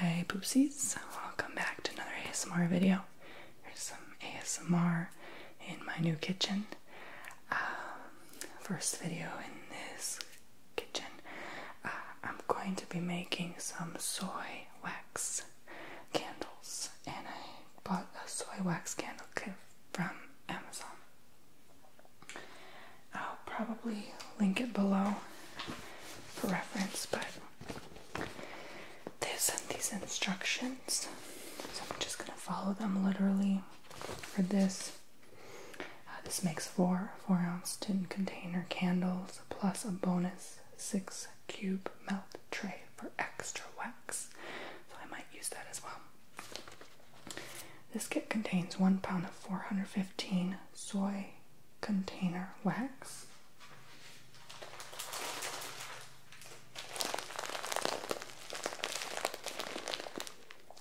Hi Boopsies, welcome back to another ASMR video. Here's some ASMR in my new kitchen. Um, first video in this kitchen. Uh, I'm going to be making some soy wax candles and I bought a soy wax candle kit from Amazon. I'll probably link it below for reference, but they sent these instructions, so I'm just gonna follow them literally for this. Uh, this makes four four ounce tin container candles plus a bonus six cube melt tray for extra wax, so I might use that as well. This kit contains one pound of 415 soy container wax.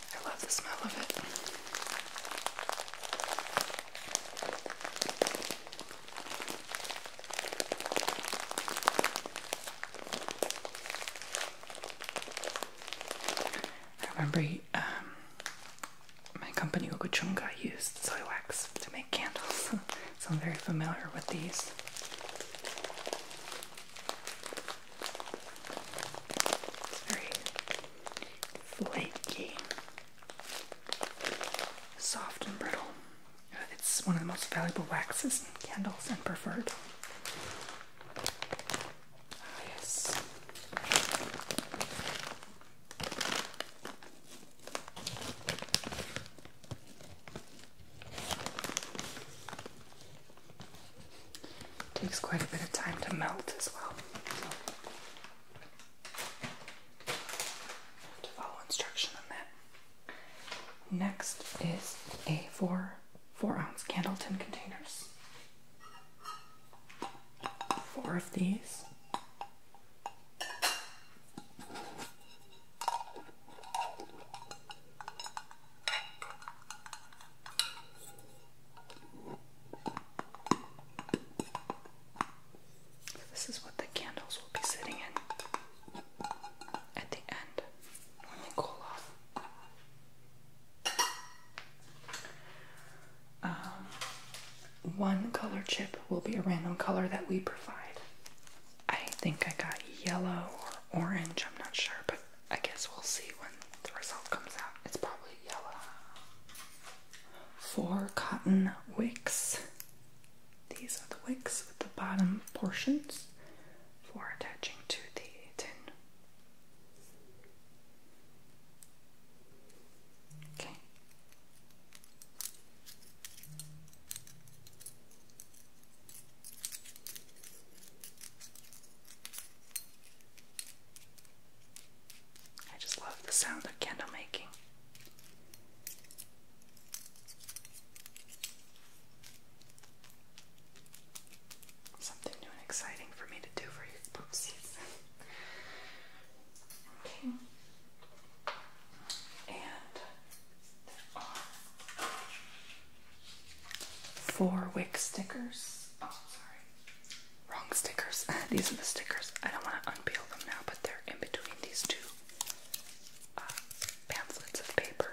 I love the smell of it. I remember um, my company got used soy wax to make candles, so I'm very familiar with these. It's very flaky, soft and brittle. Uh, it's one of the most valuable waxes in candles and preferred. Takes quite a bit of time to melt as well. to follow instruction on that. Next is A4 four ounce candle tin containers. Four of these. this is what the candles will be sitting in at the end when they cool off. Um, one color chip will be a random color that we provide. I think I got yellow or orange, I'm not sure, but I guess we'll see when the result comes out. It's probably yellow. Four cotton wicks. These are the wicks with the bottom portions for attaching to the tin I just love the sound of candle making something new and exciting for me to do for you poopsies. okay. And there are four wick stickers. Oh, sorry. Wrong stickers. these are the stickers. I don't want to unpeel them now, but they're in between these two uh, pamphlets of paper.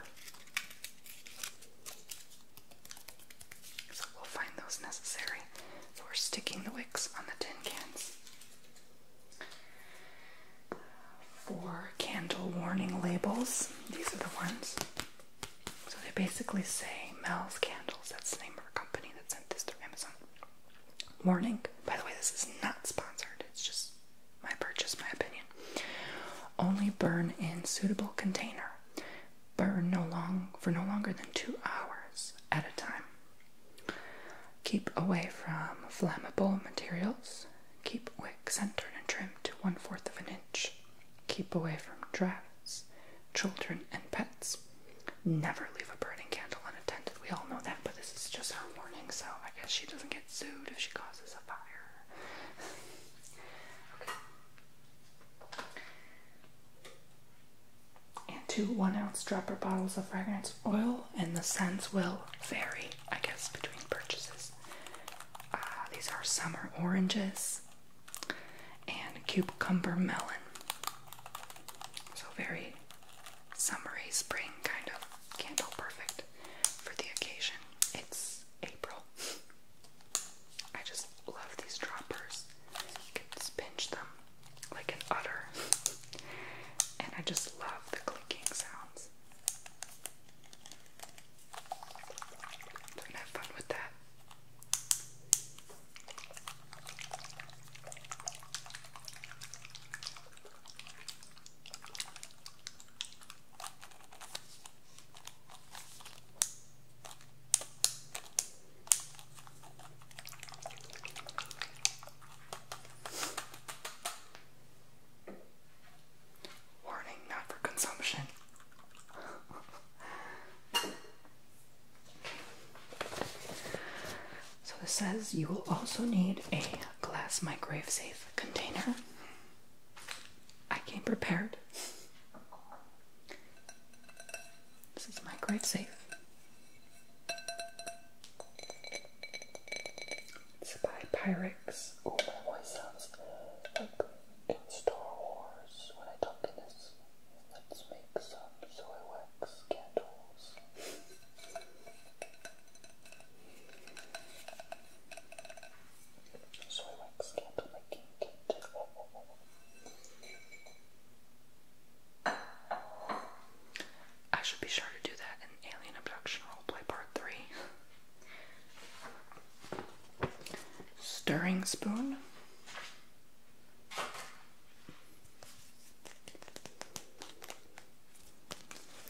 So we'll find those necessary for sticking the wicks on the tin cans. For candle warning labels, these are the ones. So they basically say Mel's Candles, that's the name of our company that sent this through Amazon. Warning, by the way, this is not sponsored, it's just my purchase, my opinion. Only burn in suitable container burn no long for no longer than two hours at a time. Keep away from flammable materials. Keep wick centered and trimmed to one fourth of an inch. Keep away from drafts, children, and pets. Never leave a burning candle unattended. We all know that, but this is just her warning, so I guess she doesn't get sued if she causes a fire. okay. And two one ounce dropper bottles of fragrance oil, and the scents will vary, I guess, between purchases. Ah, these are summer oranges and cucumber melon. So, very summery spring kind of candle, perfect for the occasion. It's April. I just love these droppers. You can pinch them like an udder. and I just love the clinking sounds. have fun with that. Warning, not for consumption. so this says you will also need a glass microwave safe container. I came prepared. This is microwave safe. It's Oh, my voice sounds like Star Wars when I talk in this. Let's make some soy wax candles. soy wax candle I should be sure to do that in Alien Abduction Roleplay Part 3. Stirring spoon.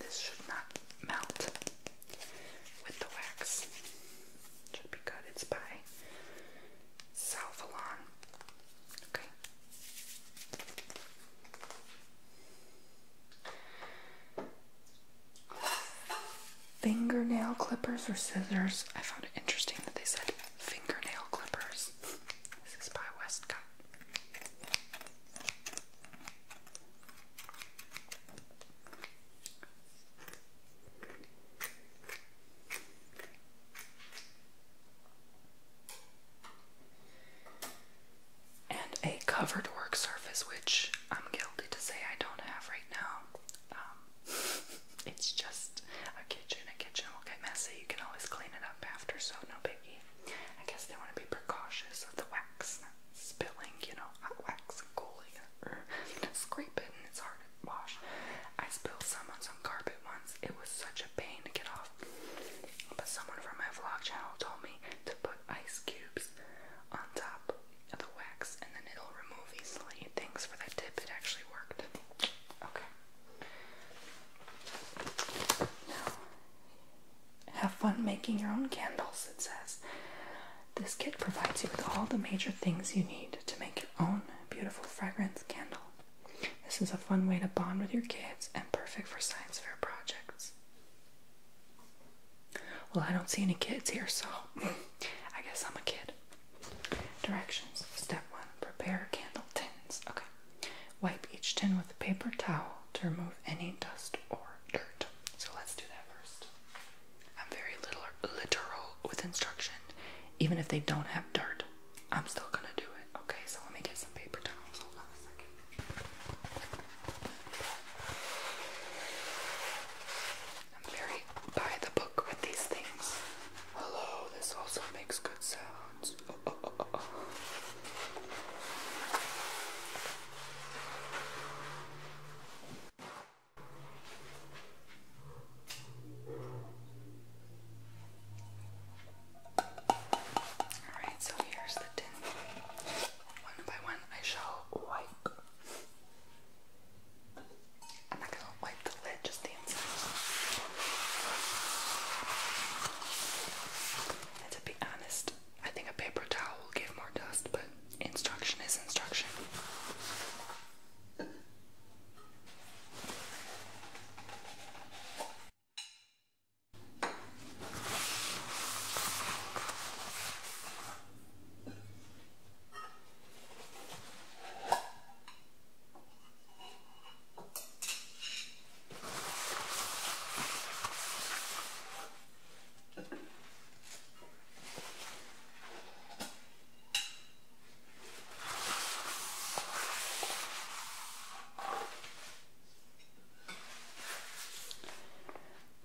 This should not melt with the wax. Should be good. It's by Salvalon. Okay. Fingernail clippers or scissors. I found it interesting that they said fingernail clippers. This is by Westcott and a covered work surface, which I'm guilty to say I don't have right now. Um, it's just a kitchen. A kitchen will get messy. You can always clean it up after, so no biggie. I guess they want to be precautious of the wax spilling, you know, wax cooling scrape it and it's hard to wash. I spilled some on some carpet once. It was such a pain to get off. But someone from my vlog channel told me to put ice cubes on top of the wax and then it'll remove easily. Thanks for that tip, it actually worked. Okay. Now, have fun making your own candles, it says. This kit provides you with all the major things you need to make your own beautiful fragrance candle. This is a fun way to bond with your kids and perfect for science fair projects. Well, I don't see any kids here, so I guess I'm a kid. Directions. Step 1. Prepare candle tins. Okay. Wipe each tin with a paper towel to remove any dust or dirt. So let's do that first. I'm very literal with instruction. Even if they don't have dirt, I'm still gonna do it. Okay, so let me get some paper towels. Hold on i I'm very by the book with these things. Hello, this also makes good sounds. Oh, oh, oh, Alright, so here's the tin. One by one, I shall wipe. I'm not gonna wipe the lid, just the inside. And to be honest, I think a paper towel will give more dust, but Instruction is instruction.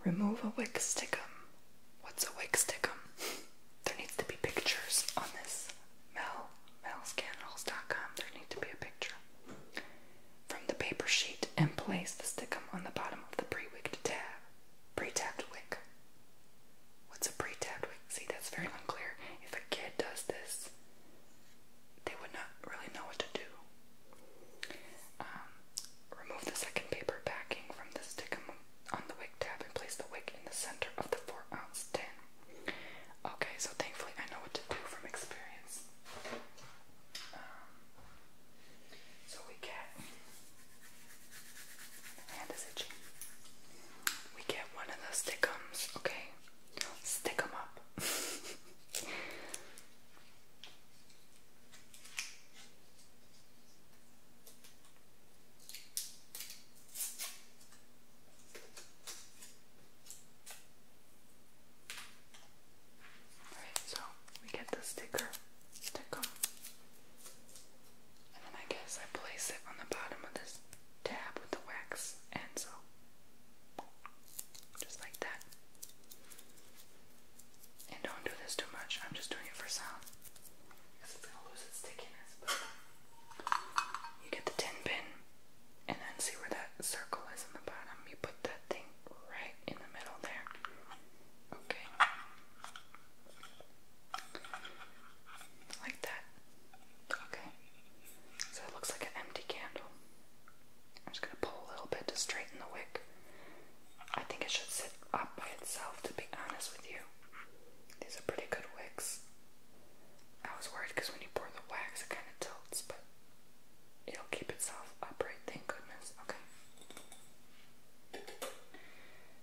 Remove a wick stickum. What's a wick stickum? there needs to be pictures on this. Mel, melscanrolls.com. There need to be a picture. From the paper sheet and place the stickum on the bottom of the pre-wigged tab pre-tapped wick. What's a pre-tapped wick? See, that's very unclear. If a kid does this, they would not really know what to do. Um, remove the second paper backing from the stick on the wick tab and place the wick in the center of the 4 ounce tin. Okay, so thankfully I know what to do from experience. Um, so we get my hand is itchy. We get one of those stickums, okay? Stick 'em up. Alright, so we get the sticker. And then I guess I place it on the bottom of this tab with the wax encel. Just like that. And don't do this too much, I'm just doing it for sound. Because it's gonna lose its stickiness, you get the tin pin and then see where that circle is in the bottom. You put that thing right in the middle there. Okay. Like that. Okay. So it looks like an empty candle. I'm just going to pull a little bit to straighten the wick. I think it should sit up by itself, to be honest with you. These are pretty good wicks. I was worried because when you pour the wax, it kind of tilts, but it'll keep itself upright, thank goodness. Okay.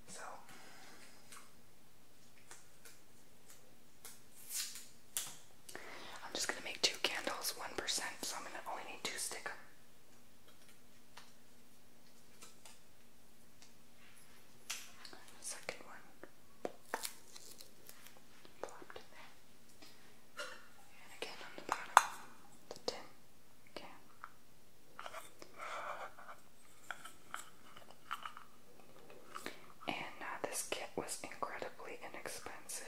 So I'm just gonna make two candles, one percent, so I'm gonna only need two stick Second one plopped in there. And again on the bottom, the tin Okay. And this kit was incredibly inexpensive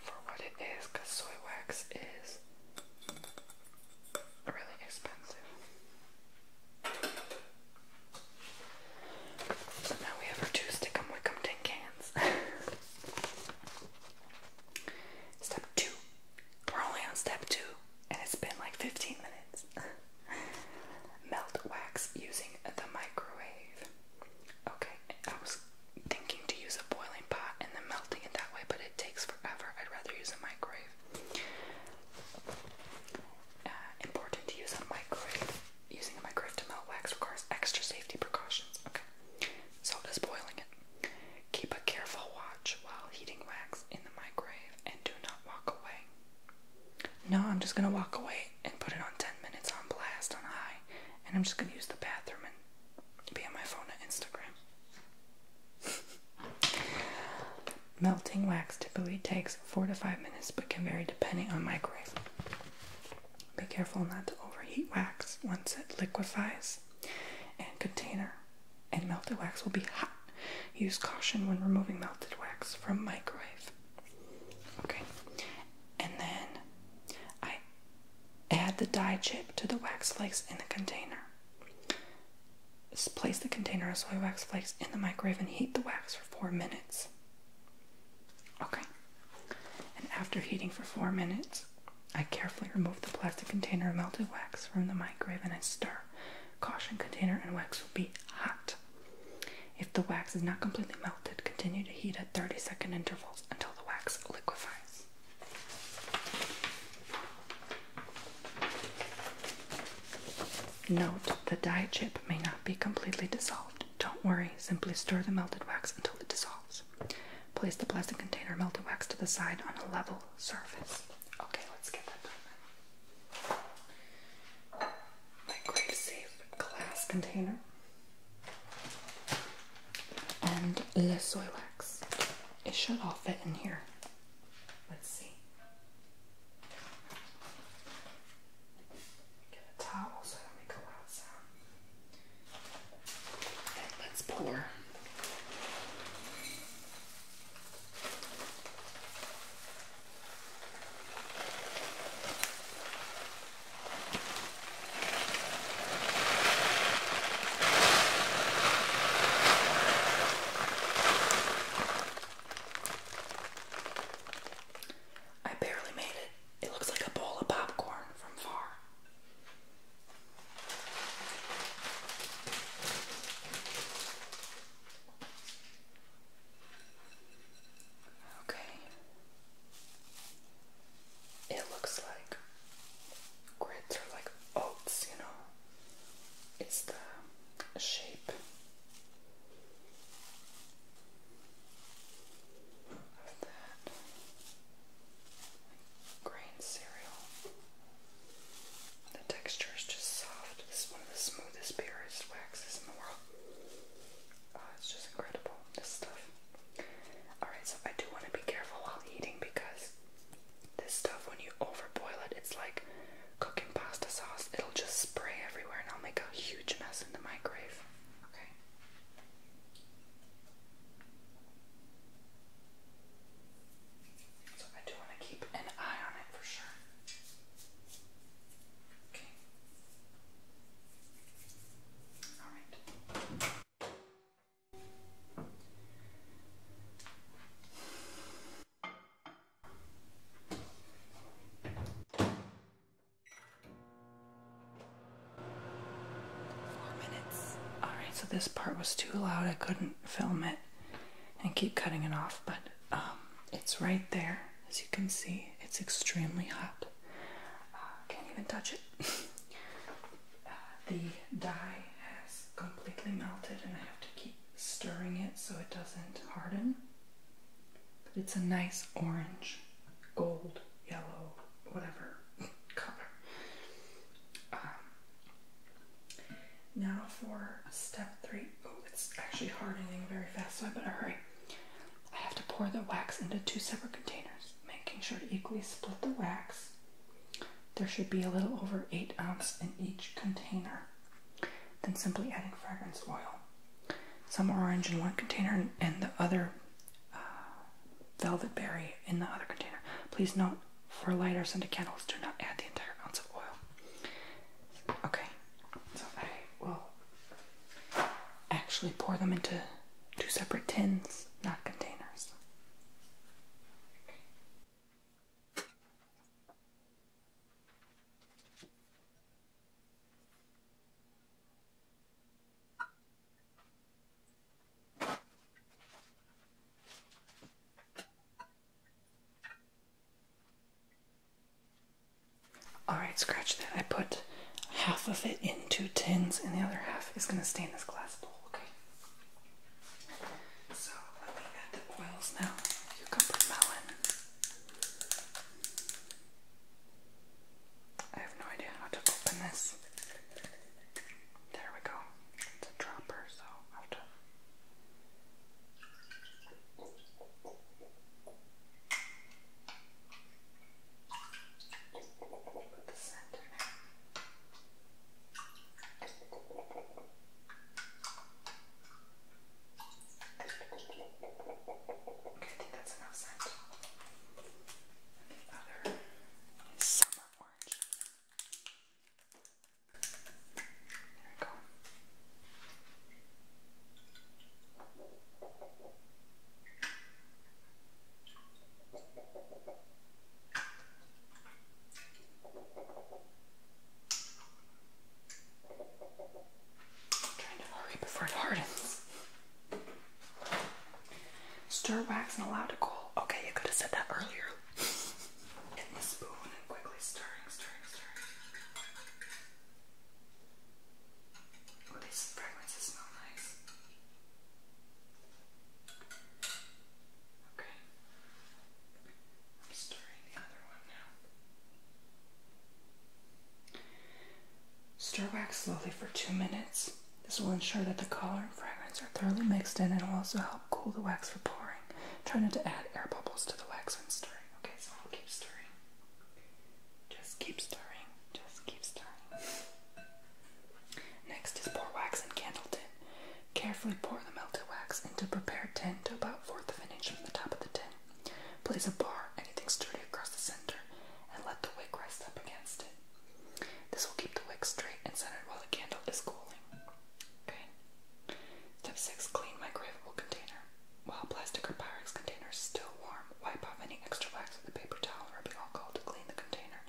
for what it is because soy wax is really expensive. So now we have our two stick 'em wick 'em tin cans. Step two we're only on step two, and it's been like 15 minutes. Melt wax using the microwave. Okay, I was thinking to use a boiling pot and then melting it that way, but it takes forever. I'd rather use a microwave. Uh, important to use a microwave. Using a microwave to melt wax requires extra safety precautions. Okay, so does boiling it. Keep a careful watch while heating wax in the microwave and do not walk away. No, I'm just going to walk away and put it on 10 minutes on blast on high, and I'm just going to use the bathroom and be on my phone on Instagram. Melting wax typically takes 4 to 5 minutes but can vary depending on microwave. Be careful not to overheat wax once it liquefies. And container and melted wax will be hot. Use caution when removing melted wax from microwave. Okay, and then I add the dye chip to the wax flakes in the container. place the container of soy wax flakes in the microwave and heat the wax for four minutes. Okay, and after heating for four minutes, I carefully remove the plastic container of melted wax from the microwave and I stir. Caution container and wax will be hot. If the wax is not completely melted, continue to heat at 30 second intervals until the wax liquefies. Note the dye chip may not be completely dissolved. Don't worry, simply stir the melted wax until it dissolves. Place the plastic container melted wax to the side on a level surface. Okay, let's get that done then. Microwave safe glass container and the soy wax. It should all fit in here. Let's see. Get a towel so I don't make a loud sound. And let's pour I barely made it. It looks like a bowl of popcorn from far. Okay. It looks like grits are like oats, you know. It's the shape grain cereal. The texture is just soft. This is one of the smoothest purest waxes in the world. Oh, it's just incredible, this stuff. Alright, so I do want to be careful while eating because this stuff, when you overboil it, it's like cooking pasta sauce. It'll just spray everywhere and I'll make a huge mess in the microwave. Okay. So I do want to keep an eye on it for sure. Okay. All right. Four minutes. All right, so this part was too loud. I couldn't film it and keep cutting it off, but um, it's right there. As you can see, it's extremely hot. Uh, can't even touch it. Uh, the dye has completely melted, and I have to keep stirring it so it doesn't harden. But it's a nice orange, gold, yellow, whatever color. Um, now for step three. Oh, it's actually hardening very fast, so I better hurry. I have to pour the wax into two separate containers, making sure to equally split the wax. There should be a little over 8 ounces in each container. Then simply adding fragrance oil. Some orange in one container and the other uh, velvet berry in the other container. Please note, for lighters and candles, do not add the entire ounce of oil. Okay, so I will actually pour them into two separate tins, not containers. Alright, scratch that. I put half of it into tins and the other half is going to stay in this glass bowl, okay? So let me add the oils now. Cucumber melon. I have no idea how to open this. There we go. It's a dropper, so i have to. Put the scent Okay, I think that's enough scent. And summer orange. I'm trying to hurry before it hardens. Stir wax and allow to cool. Okay, you could have said that earlier, in the spoon and quickly stirring, stirring, stirring. Oh, these fragrances smell nice. Okay. I'm stirring the other one now. Stir wax slowly for two minutes. This will ensure that the color and fragrance are thoroughly mixed in and will also help cool the wax for pouring. Try not to add air bubbles to the wax when stirring. Okay, so keep stirring. Just keep stirring. Just keep stirring. Next is pour wax in candle tin. Carefully pour the melted wax into prepared tin to about fourth of an inch from the top of the tin. Place a bar, anything sturdy across the center, and let the wick rest up against it. This will keep the wick straight and centered while the candle is cooling. Okay. Step 6. Clean my microwavable container. While plastic or Pyrex containers still warm, wipe off any extra wax with a paper towel or rubbing alcohol to clean the container.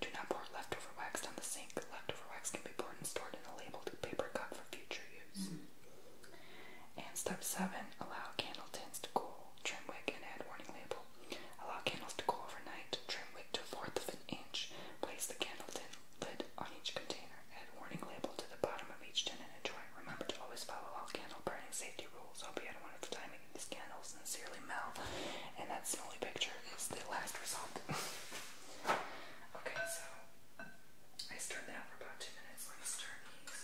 Do not pour leftover wax down the sink. Leftover wax can be poured and stored in a labeled paper cup for future use. And step 7. Allow candle tins to cool. Trim wick and add warning label Allow candles to cool overnight. Trim wick to fourth of an inch. Place the candle tin lid on each container. Add warning label to the bottom of each tin and enjoy. Remember to always follow all candle burning safety rules. Hope you had a wonderful time making these candles. Sincerely, Mel. And that's the picture. It's the last result. okay, so I stirred that for about two minutes. Let me stir these.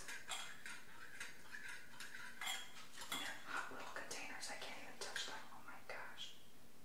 hot little containers. I can't even touch them. Oh my gosh.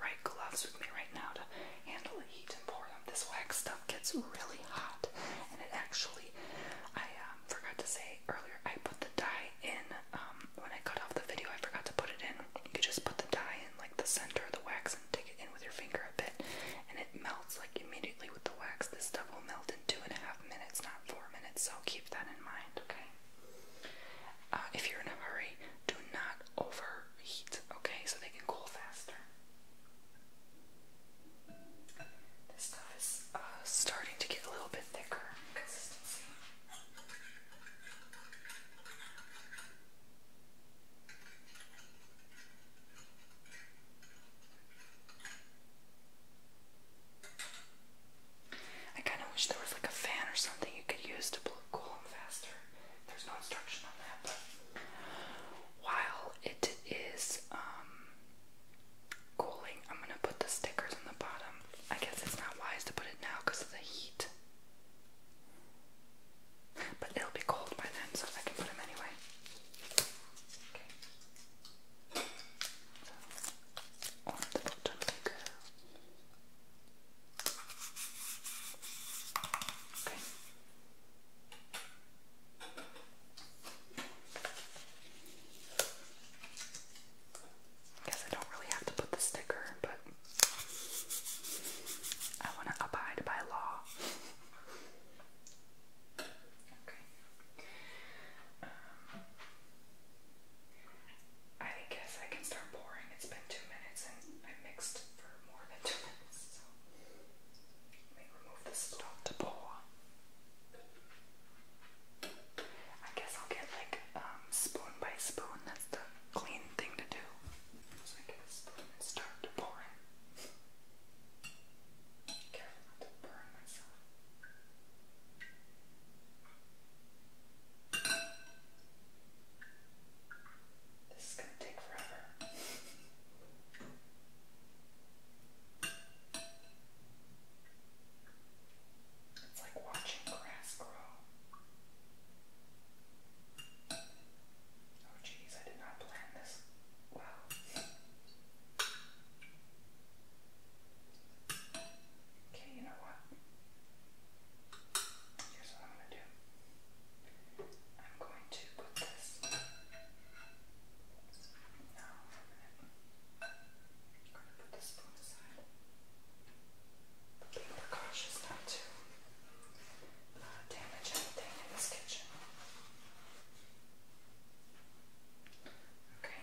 right gloves with me right now to handle the heat and pour them. This wax stuff gets really hot, and it actually, I um, forgot to say earlier, I put the dye in um, when I cut off the video. I forgot to put it in. You could just put the dye in like the center of the wax and take it in with your finger a bit, and it melts like immediately with the wax. This stuff will melt in two and a half minutes, not four minutes. So keep that in mind, okay? Uh, if you're in a hurry, do not overheat, okay? So they can cool faster. This stuff is uh, starting to get a little bit thicker I kind of wish there was like a fan or something you could use to blow cool them faster while it is um, cooling, I'm gonna put the stickers on the bottom. I guess it's not wise to put it now because of the heat, but it'll be cold by then, so I can put them anyway. Okay. Guess I don't really have to put the sticker, but I want to abide by law. okay. Um, I guess I can start pouring. It's been two minutes and I mixed for more than two minutes. I guess I'll get like um, spoon by spoon. That's the clean thing to do. So I get a spoon and start to burn myself. This is going to take forever. It's like watching grass grow. Oh, geez, I did not plan this. Wow. Okay, you know what? Here's what I'm going to do. I'm going to put this now I'm going to put the spoon aside. But be cautious not to uh, damage anything in this kitchen. Okay.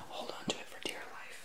I'll hold on to it for dear life.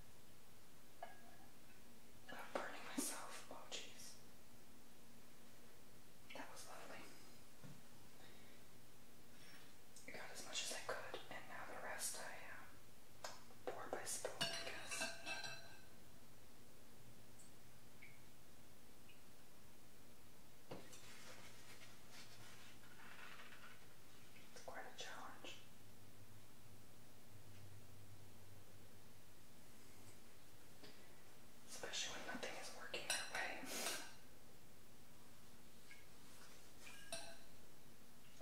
I'm burning myself. Oh, jeez. That was lovely. I got as much as I could, and now the rest I um, pour by spoon, I guess. It's quite a challenge. Especially when nothing is working our way.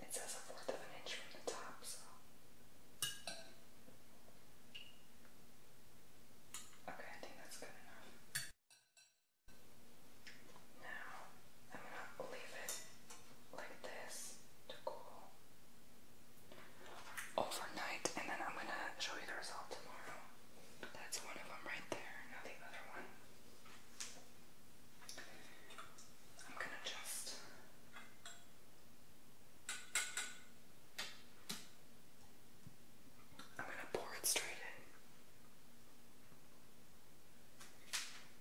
It says a fourth of an inch from the top, so. Okay, I think that's good enough. Now, I'm gonna leave it like this to cool overnight, and then I'm gonna show you the result tomorrow. That's one of them right there, now the other one. I'm gonna just. I'm gonna pour it straight in.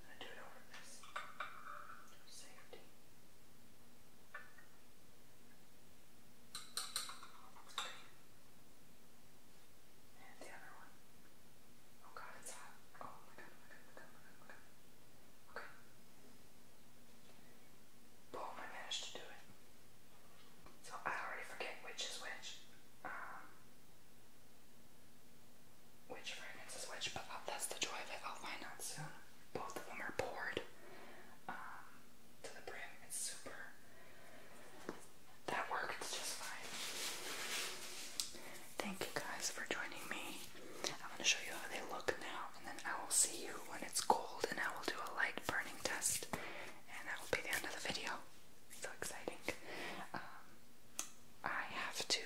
i do it over this. Safety. And the other one. Oh god, it's hot. Oh my god, oh my god, oh my god, oh my god. Okay. Boom, I managed to do it. So I already forget which is which. Um, which fragrance is which, but uh, that's the joy of it. I'll find out soon both of them are poured um, to the brim. It's super. That works just fine. Thank you guys for joining me. I'm going to show you how they look now, and then I will see you when it's cold, and I will do a light burning test, and that will be the end of the video. So exciting. Um, I have to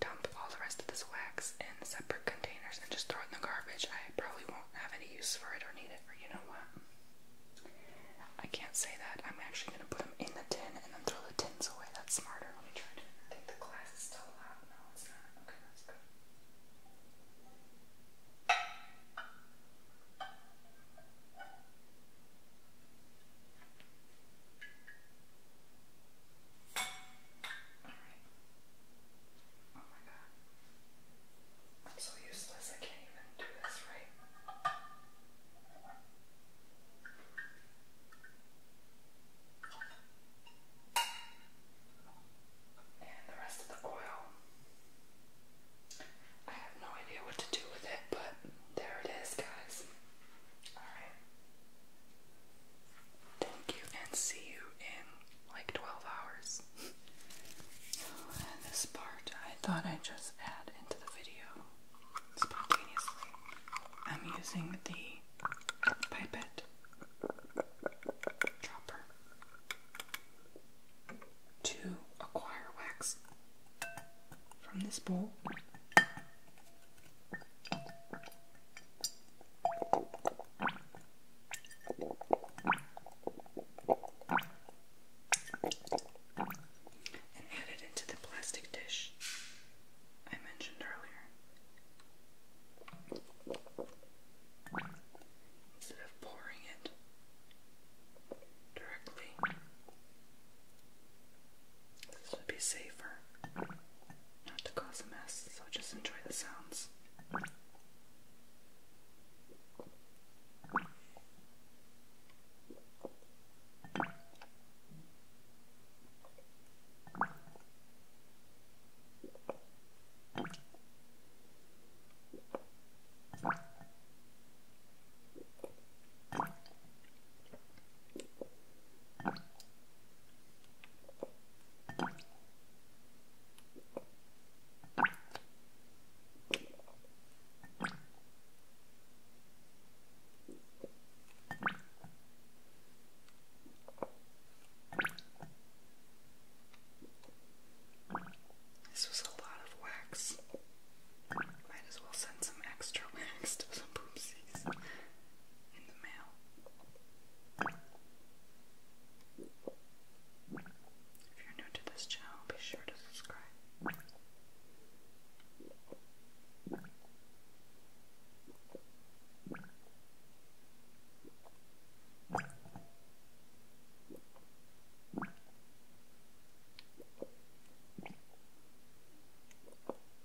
dump all the rest of this wax in separate containers and just throw it in the garbage. I probably won't have any use for it or need it, or you know what? I can't say that. I'm actually going to put them in the tin and then throw the tins away. That's smarter. Let me try to. I think the glass is still loud. No, it's not. Okay, that's good. Oh my god. I'm so useless, I can't even do this right. And the rest of the oil. I have no idea what to do with it, but there it is, guys. Alright. Thank you and see you in like 12 hours. and this part I thought I'd just add into the video spontaneously. I'm using the pipette dropper to acquire wax from this bowl and add it into the plastic dish I mentioned earlier. Instead of pouring it directly, this would be safer not to cause a mess, so just enjoy the sounds. This was a lot of wax. Might as well send some extra wax to some poopsies. If you're new to this channel, be sure to subscribe.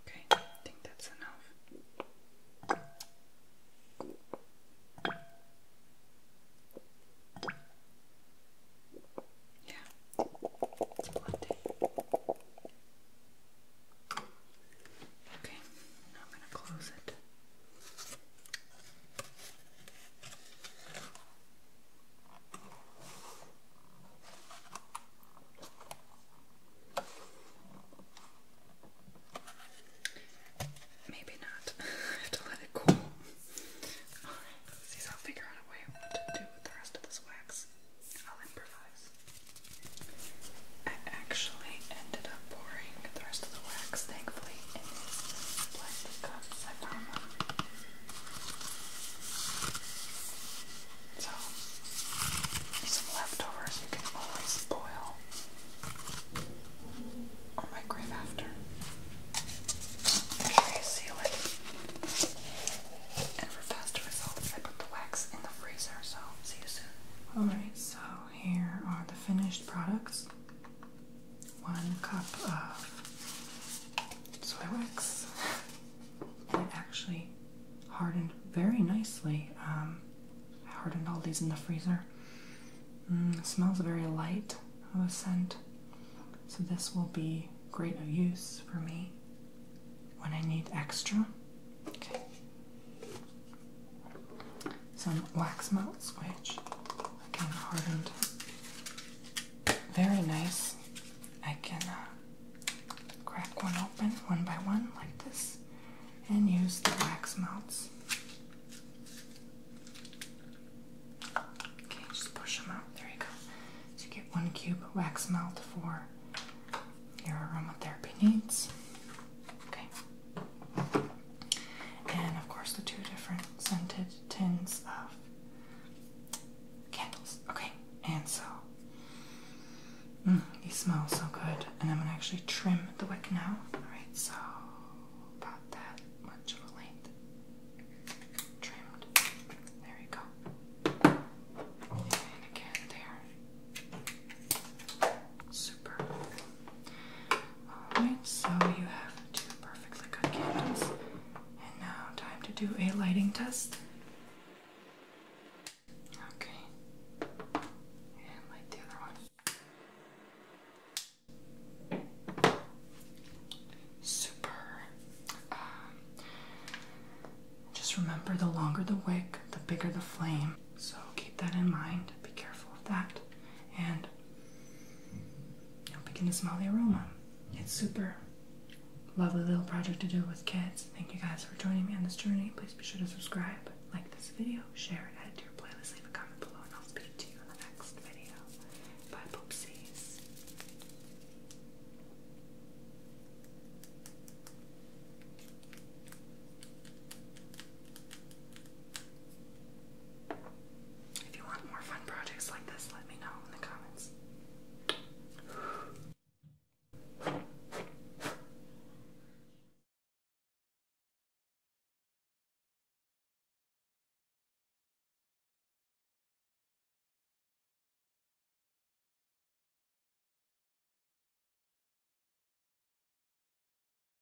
Okay, I think that's enough. Yeah, Okay, now I'm going to close it. Maybe not. I have to let it cool. Alright, let's see. So i figure out a way to do with the rest of this wax. I'll improvise. I actually ended I'm pouring the rest of the wax, thankfully, in these plastic cups. I found them. So, some leftovers you can always boil or microwave after. Make sure you seal it. for faster results, I put the wax in the freezer, so see you soon. Alright, so here are the finished products one cup of soy wax, it actually hardened very nicely. Um, I hardened all these in the freezer. Mm, smells very light of a scent, so this will be great of use for me when I need extra some wax melts, which kind of hardened. Very nice. I can uh, crack one open one by one like this and use the wax melts. Okay, just push them out. There you go. So you get one cube wax melt for your aromatherapy needs. Okay. And of course, the two different scented tins of candles. Okay, and so mm, these smell so good. And I'm gonna actually trim the wick now. Alright, so about that much of a length. Trimmed. There we go. again, there. So Alright, so you have two perfectly good candles. And now, time to do a lighting test. Okay. And light the other one. Super. Um, just remember the longer the wick, the bigger the flame. So keep that in mind. Be careful of that. And you'll begin to smell the aroma. It's super lovely little project to do with kids. Thank you guys for joining me on this journey. Please be sure to subscribe, like this video, share it, add to your playlist, leave a comment below, and I'll speak to you in the next video. Bye, poopsies. If you want more fun projects like this, let me know in the comments.